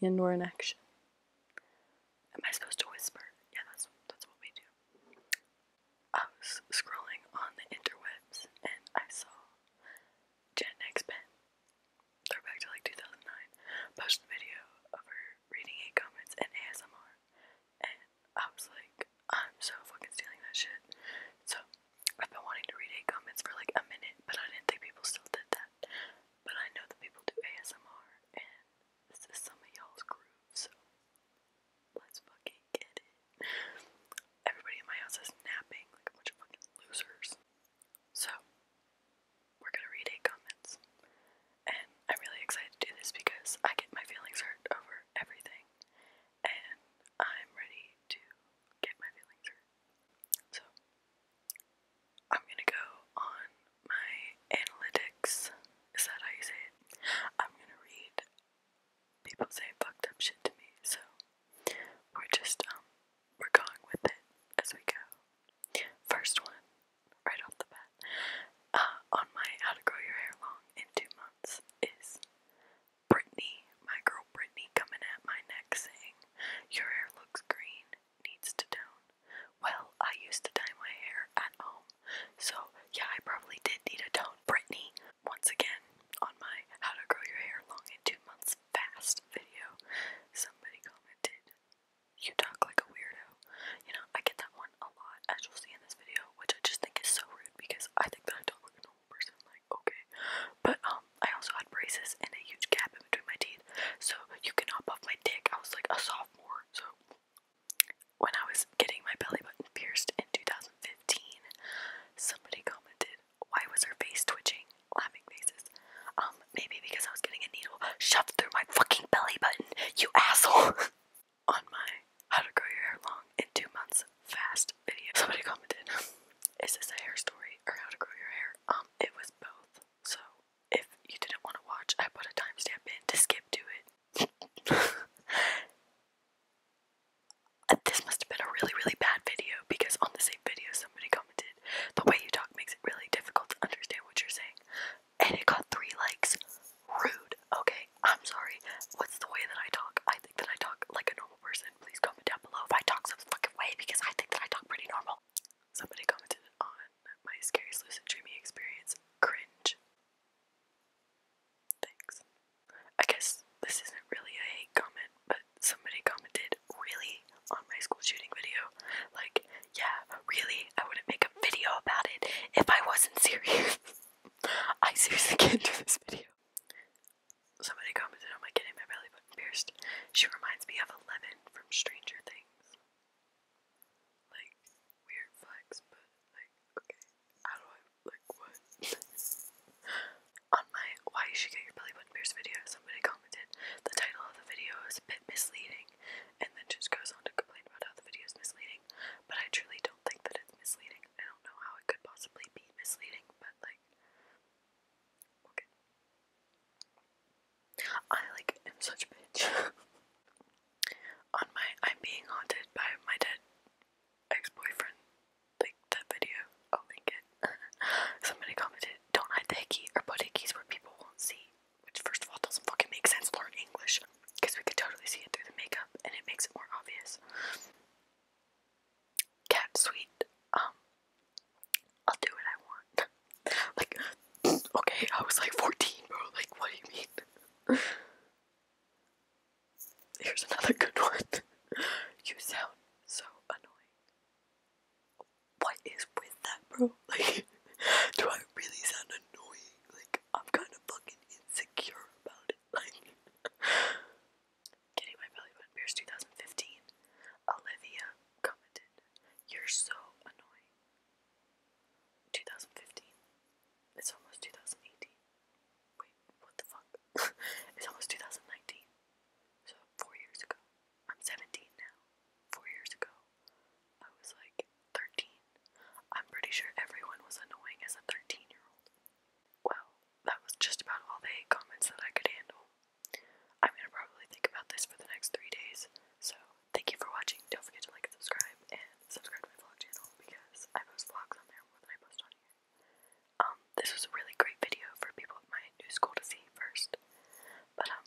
In or in action. Am I supposed to whisper? Yeah, that's that's what we do. I was scrolling on the interwebs and I saw Jen X Pen, go back to like 2009, post a video of her reading eight comments and ASMR, and I was like, I'm so fucking stealing that shit. So I've been wanting to read eight comments for like a minute, but I didn't think people still did that. But I know that people do ASMR, and this is some of y'all's groove, so let's fucking get it. Everybody in my house is napping like a bunch of fucking losers. So, we're gonna read eight comments. And I'm really excited to do this because I get my feelings hurt over everything. And I'm ready to get my feelings hurt. So, I'm gonna go on my analytics. Is that how you say it? I'm gonna read. People say fucked up shit to me, so we're just, um, we're going with it as we go. First one, right off the bat, uh, on my How to Grow Your Hair Long in Two Months is Brittany, my girl Brittany, coming at my neck saying, Your hair looks green, needs to tone. Well, I used to dye my hair at home, so yeah, I probably did need a tone. Brittany, once again, on my how to grow your hair long in two months fast video, somebody commented, You talk like a weirdo. You know, I get that one a lot, as you'll see in this video, which I just think is so rude because I think that I talk like a normal person, like, okay. But, um, I also had braces and a huge gap in between my teeth, so you can hop my dick. I was like a sophomore, so when I was getting my belly button pierced in 2015, somebody commented, Why was her face twitching? Laughing faces. Um, maybe because I was getting a needle shoved through my fucking belly button, you asshole! On my how to grow your hair long in two months fast video. Somebody commented, is this a hair story or how to grow your hair? Um, it was both. So if you didn't want to watch, I put a timestamp in to skip to it. Uh, this must have been a really, really bad video because on the same video somebody commented, the way you talk makes it really difficult to understand what you're saying. And it got three likes. Rude. Okay, I'm sorry. What's the way that I talk? I think that I talk like a normal person. Please comment down below if I talk some fucking way because I think that I talk pretty normal. Somebody commented on my scariest lucid dreaming experience. Cringe. Thanks. I guess this isn't really a comment, but somebody commented really on my school shooting video. Like, yeah, really, I wouldn't make a video about it if I wasn't serious. I seriously can't do this video. Somebody commented on my getting my belly button pierced. She reminds me of Eleven from Stranger Things. Like, weird flex, but like, okay. How do I, like, what? on my Why You Should Your Belly Button Pierced video, somebody commented the title of the video is a bit misleading and then just goes on to complain about how the video is misleading, but I truly don't think that it's misleading. I don't know how it could possibly be misleading, but like, okay. I like am such a bitch. On my, I'm being haunted by my dead ex-boyfriend. Like that video, I'll link it. Somebody commented, "Don't hide the key or put hickeys where people won't see." Which, first of all, doesn't fucking make sense. Learn English because we could totally see it through the makeup and it makes it more obvious. Cat sweet, um, I'll do what I want. like, okay, I was like 14, bro. Like, what do you mean? Here's another good one. you sound so annoying. What is with that, bro? Like, do I really sound annoying? Like, I'm kind of fucking insecure about it. Like, getting my belly button pierced 2015. Olivia commented, You're so annoying. 2015. It's almost 2018. Wait, what the fuck? it's almost 2019. So, four years ago. I'm 17 now. Four years ago, I was like 13. I'm pretty sure everyone was annoying as a 13 year old. Well, that was just about all the comments that I could handle. I'm gonna probably think about this for the next three days, so thank you for watching. Don't forget to like and subscribe, and subscribe to my vlog channel because I post vlogs on there more than I post on here. Um, this was a really great video for people at my new school to see first, but um,